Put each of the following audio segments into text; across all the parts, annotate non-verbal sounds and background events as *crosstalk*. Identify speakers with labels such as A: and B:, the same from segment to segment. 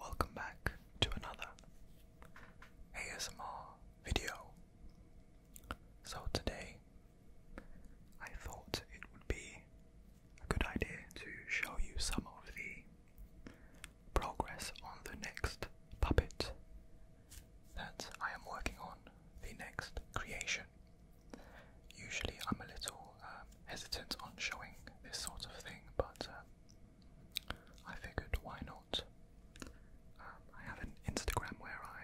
A: Welcome back to another ASMR video. So, today I thought it would be a good idea to show you some of the progress on the next puppet that I am working on, the next creation. Usually, I'm a little um, hesitant on showing this sort of thing, but um, I figured why not? Um, I have an Instagram where I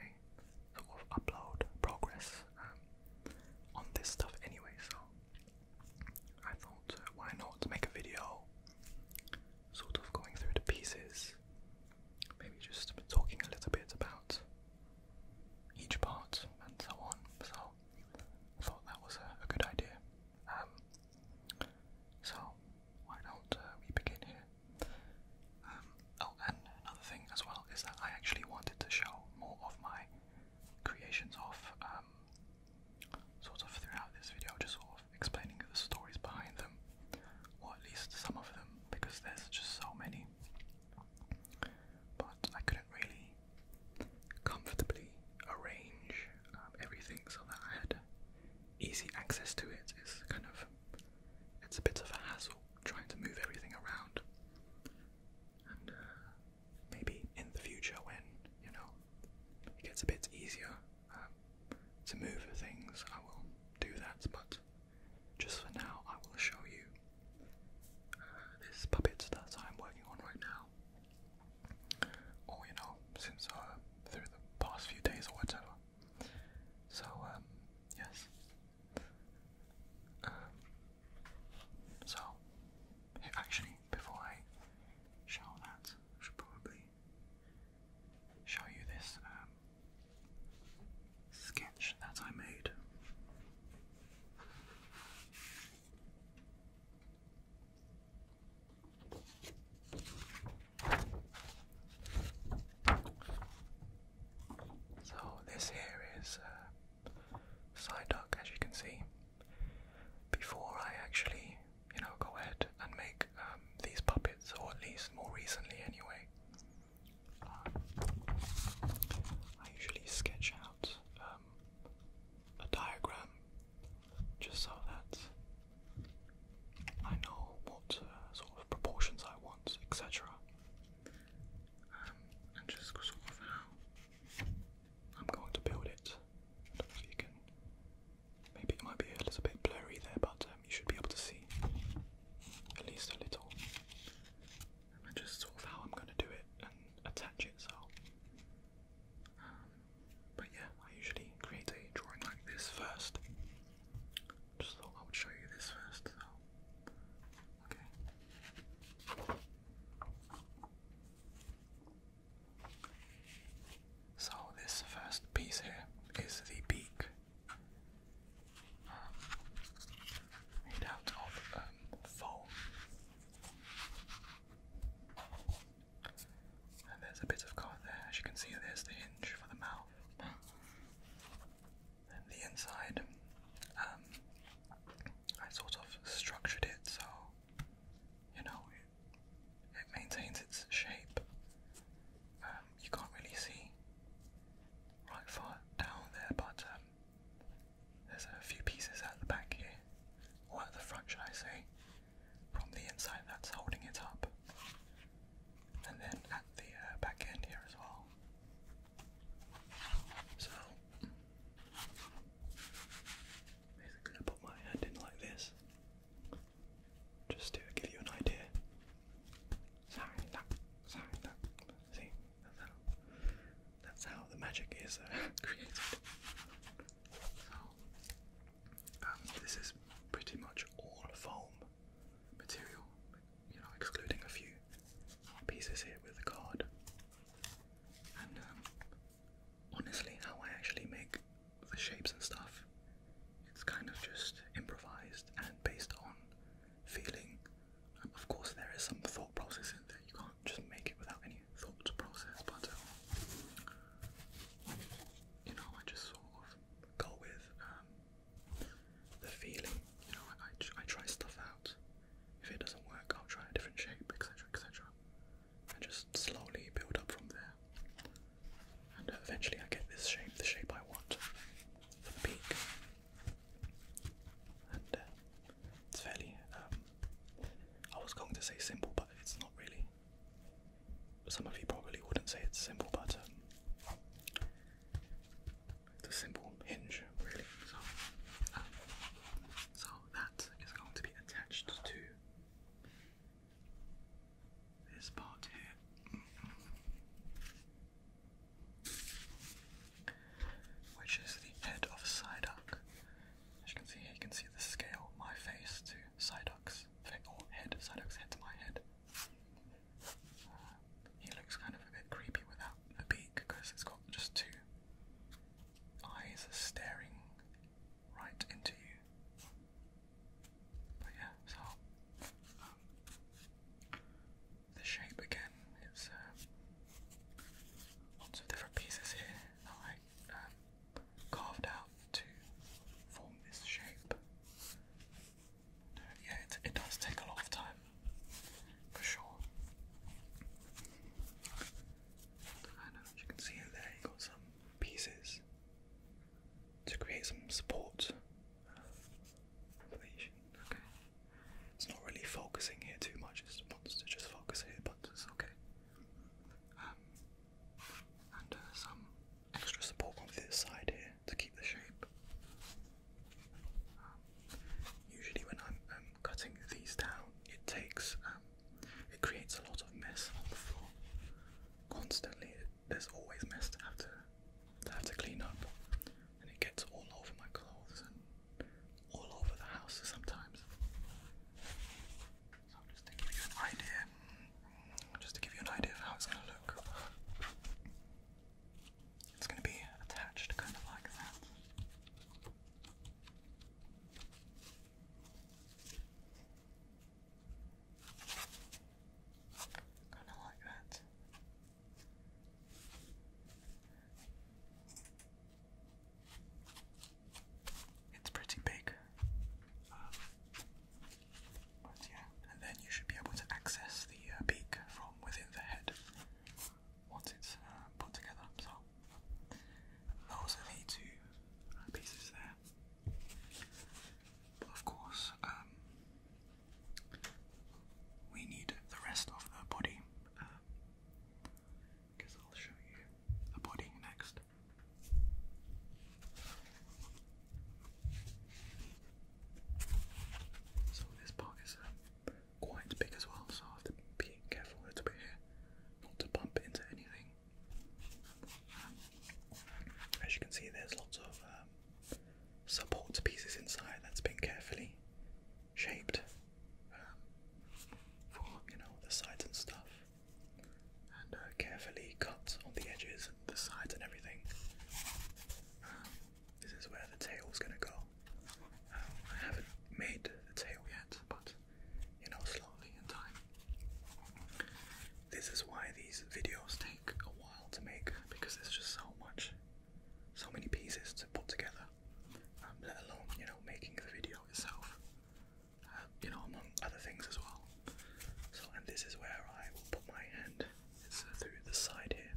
A: sort of upload progress on this stuff anyway, so I thought uh, why not make a video sort of going through the pieces, maybe just talking a little bit about each part and so on. So I thought that was a, good idea. Um, so why don't uh, we begin here? Um, oh, and another thing as well is that I actually wanted to show more of my creations of um, sort of throughout this video, just sort of explaining the stories behind them or at least some of them, because there's just so many. But I couldn't really comfortably arrange um, everything so that I had easy access to it. It's kind of it's a bit of a hassle trying to move everything around. And uh, maybe in the future, when you know it gets a bit easier um, to move things, I will do that. But just for now, I will show you uh, this puppet that I'm working on right now. Or, you know, since uh, through the past few days or whatever. So, um, yes. Um, so, actually, before I show that, I should probably show you this um, sketch that I made. So, this here is uh, Psyduck, as you can see. Before I actually, you know, go ahead and make um, these puppets, or at least more recently anyway, I usually sketch out um, a diagram just so that I know what uh, sort of proportions I want, etc. Um, and just sort of how I'm going to build it. Maybe it might be a little bit blurry there, but uh, you should be able to see at least a little. And just sort of how I'm going to do it and attach it. So, um, but yeah, I usually create a drawing like this first. Just thought I would show you this first. okay. So this first piece here is the beak made out of um, foam. And there's a bit of card there, as you can see, there's the hinge for the mouth. And the inside, um, I sort of structured it so, you know, it maintains its shape um, you can't really see right far down there, but um, there's a few pieces at the back here, or at the front, should I say, from the inside that's holding it up, and then at the uh, back end here as well. So basically, I put my hand in like this, just to give you an idea. Sign up, sign up. See, that's how, that's how the magic is uh, *laughs* created. So, um, this is pretty much all foam material, you know, excluding a few pieces here with the card. And um, honestly, how I actually make the shapes and stuff, it's kind of just improvised and based on feeling. Um, of course, there is some thought process in there. You can't just make it without any thought process, but um, you know, I just sort of go with um, the feeling. You know, I, I, try stuff out. If it doesn't work, I'll try a different shape, etc., etc., and just slowly build up from there. And uh, eventually, I get this shape, the shape I want the peak. Uh, it's fairly. Um, I was going to say simple, but it's not really. Some of you probably wouldn't say it's simple, but um, it's a simple hinge, really. Um, so, that is going to be attached to this part here which is the head of a Psyduck. As you can see here, you can see the scale, my face to Psyduck's face, or head, Psyduck's head to my head. Uh, he looks kind of a bit creepy without the beak because it's got just two eyes staring right into you. But yeah, so um, the shape again. It's uh, lots of different pieces here that I um, carved out to form this shape. yeah, it, it does take a lot of time, for sure. as you can see in there, you got some pieces to create some support Okay. It's not really focusing here too much. It wants to just focus here, but it's okay. Um, and uh, some extra support on this side here to keep the shape. Um, usually, when I'm um, cutting these down, it takes it creates a lot of mess on the floor. Constantly, there's always mess to have to have to clean up and it gets all over my clothes and all over the house sometimes. So just to give an idea, just to give you an idea of how it's going to look. It's going to be attached kind of like that. Kind of like that. It's pretty big. but yeah, and then you should be able to access the uh, beak from within the head once it's uh, put together. So those are the two uh, pieces there. of course, um, we need the rest of the body. Uh, I will show you the body next. So this part is uh, quite big as well, so I have to be careful a bit here, not to bump into anything. Um, as you can see, there's lots of um, Supports pieces inside that's been carefully shaped um, for you know the sides and stuff, and uh, carefully cut on the edges and the sides and everything. Um, this is where the tail is gonna go. Um, I haven't made the tail yet, but you know, slowly and time. This is why these videos take a while to make because there's just so much so many pieces to put together, um, let alone you know making the video itself. Um, you know, among other things as well. So, and this is where I will put my hand. Uh, through the side here.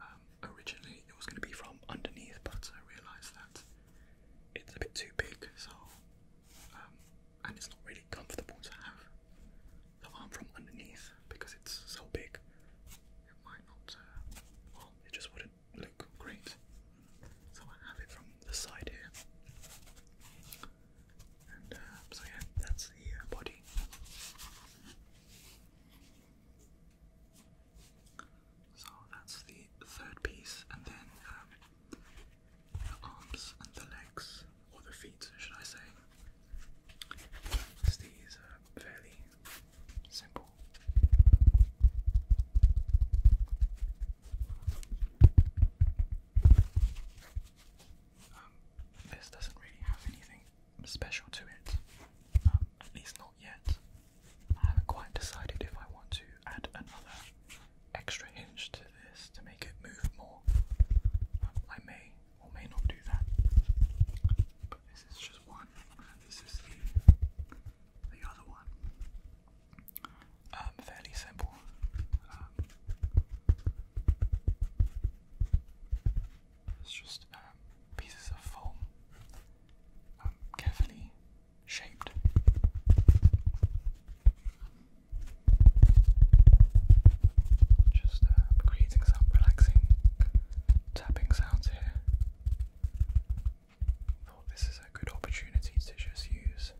A: Um, originally, it was going to be from underneath, but I realised that it's a bit too big. So, and it's not really comfortable to have the arm from underneath because it's so big. It might not, uh, well, it just wouldn't look great. So I have it from the side here. And uh, so, yeah, that's the uh, body. So that's the third piece, and then um, the arms and the legs or the feet, should I say. these are uh, fairly simple. Um, this doesn't really have anything special to it, um, at least not yet. I haven't quite decided if I want to add another extra hinge to this to make it move more. Um, I may or may not do that. But this is just one, and this is the, the other one. Um, fairly simple. Um, it's just um, pieces of foam um, carefully shaped. Just creating some relaxing tapping sounds here. Thought this is a good opportunity to just use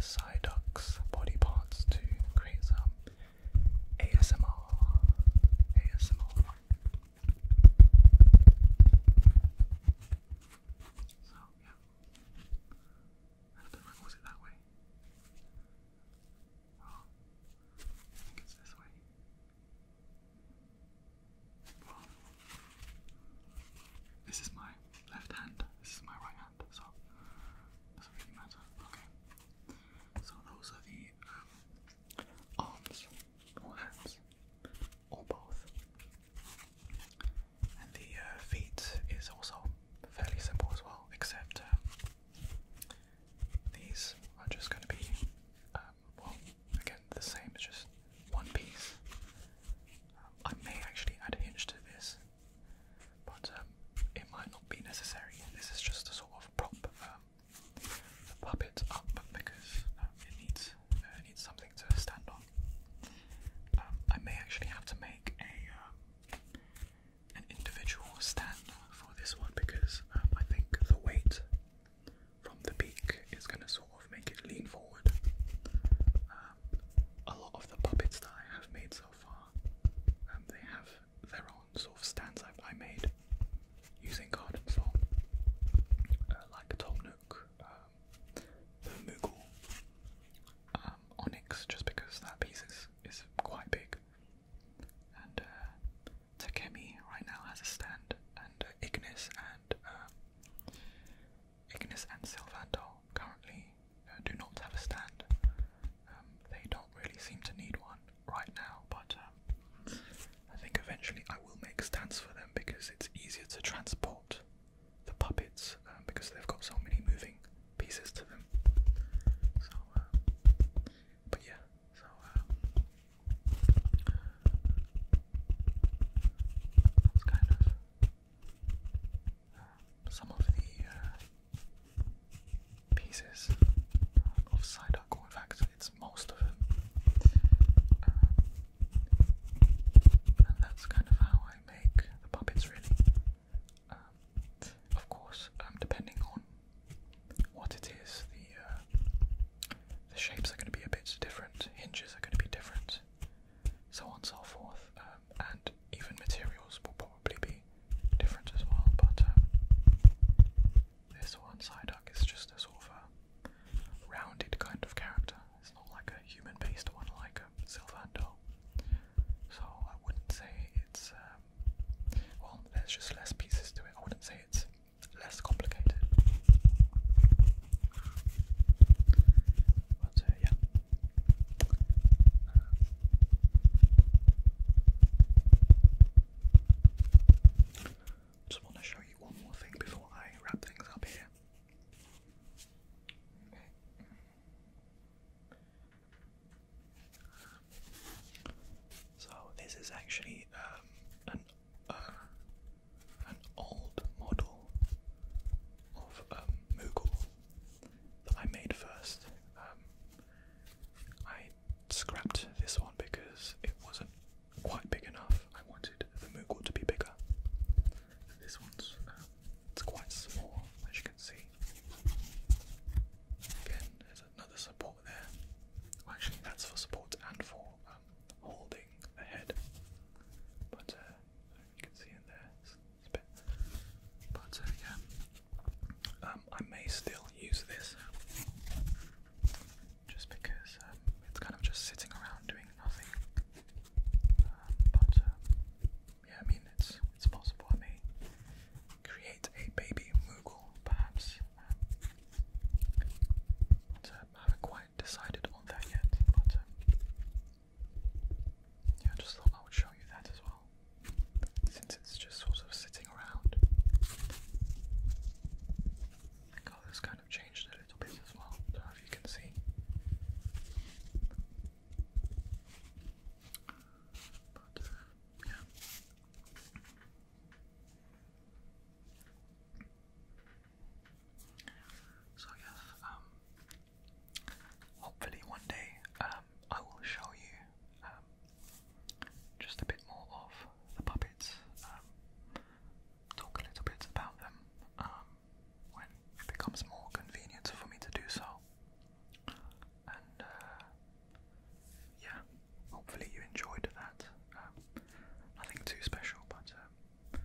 A: Psyduck's body parts to create some ASMR. ASMR. So yeah. was it that way. Oh, I think it's this way. Well, this is my left hand, this is my right hand, so doesn't really matter. Okay. So those are the um, arms or hands or both. And the uh, feet is also fairly simple as well, except um, these are just going to be, um, well, again, the same, it's just one piece. Um, I may actually add hinge to this, but um, it might not be necessary. This is just a sort of prop um, the puppet up because it needs it uh, needs something to stand on. I may actually have to make a an individual stand for this one because um, I think the weight from the beak is going to sort of make it lean forward. Um, a lot of the puppets that I have made so far, um, they have their own sort of stands i made using garden foam, uh, like Tom Nook, um, Onyx, just because that piece is, is quite big and uh, Takemi right now has a stand, and uh, Ignis and um, Ignis and Silvanto currently uh, do not have a stand. Um, they don't really seem to need one right now, but um, I think eventually I will make stands for them because it's easier to transport the puppets because they've got so many moving pieces to them. So. But yeah, so uh, uh, some of the uh, pieces of Psyduck, in fact, it's most of them. and that's kind of how I make the puppets, really. Um, of course, um, depending on what it is, the uh, shapes are going to be a bit different, hinges are going to be different, so on and so forth, um, and even materials will probably be different as well. But this one side Psyduck is just a sort of a rounded kind of character. It's not like a human-based one like a Sylvando. So I wouldn't say it's well, there's just less pieces to it. I wouldn't say it's less complicated. Uh, yeah. just want to show you one more thing before I wrap things up here. So this is actually um, an uh, an old model of a um, Moogle that I made first. Um, I scrapped this one because it wasn't quite big enough. I wanted the Moogle to be bigger. This one's it's quite small, as you can see another support there. actually, that's for support and for um, holding the head. But uh, you can see in there, it's, a bit. But uh, yeah, um, I may still use this just because um, it's kind of just sitting around doing nothing. but yeah, I mean it's it's possible. I may create a baby Moogle, perhaps. Um, haven't quite decided on that yet, but um, yeah, just thought I would show you that as well, since it's just sort of sitting around. The color's kind of changed a little bit as well, I if you can see. But, uh, yeah, so yes, um, hopefully one day um, I will show you um, just a bit more of the puppets, um, talk a little bit about them when it becomes more convenient for me to do so. And uh, yeah, hopefully you enjoyed that. Um, nothing too special, but um,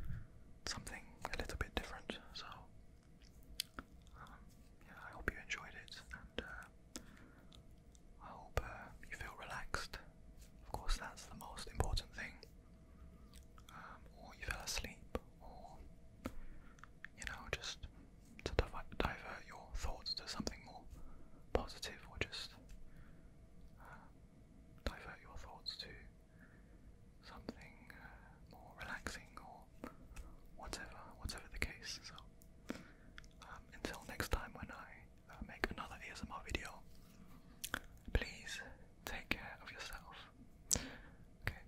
A: something a little bit different. So um, yeah, I hope you enjoyed it, and uh, I hope uh, you feel relaxed. Of course, that's the most important thing. or you fell asleep, or you know, just to divert your thoughts to something more positive, or just uh, divert your thoughts to something uh, more relaxing, or whatever, whatever the case. So, um, until next time, when I uh, make another ASMR video, please take care of yourself. Okay.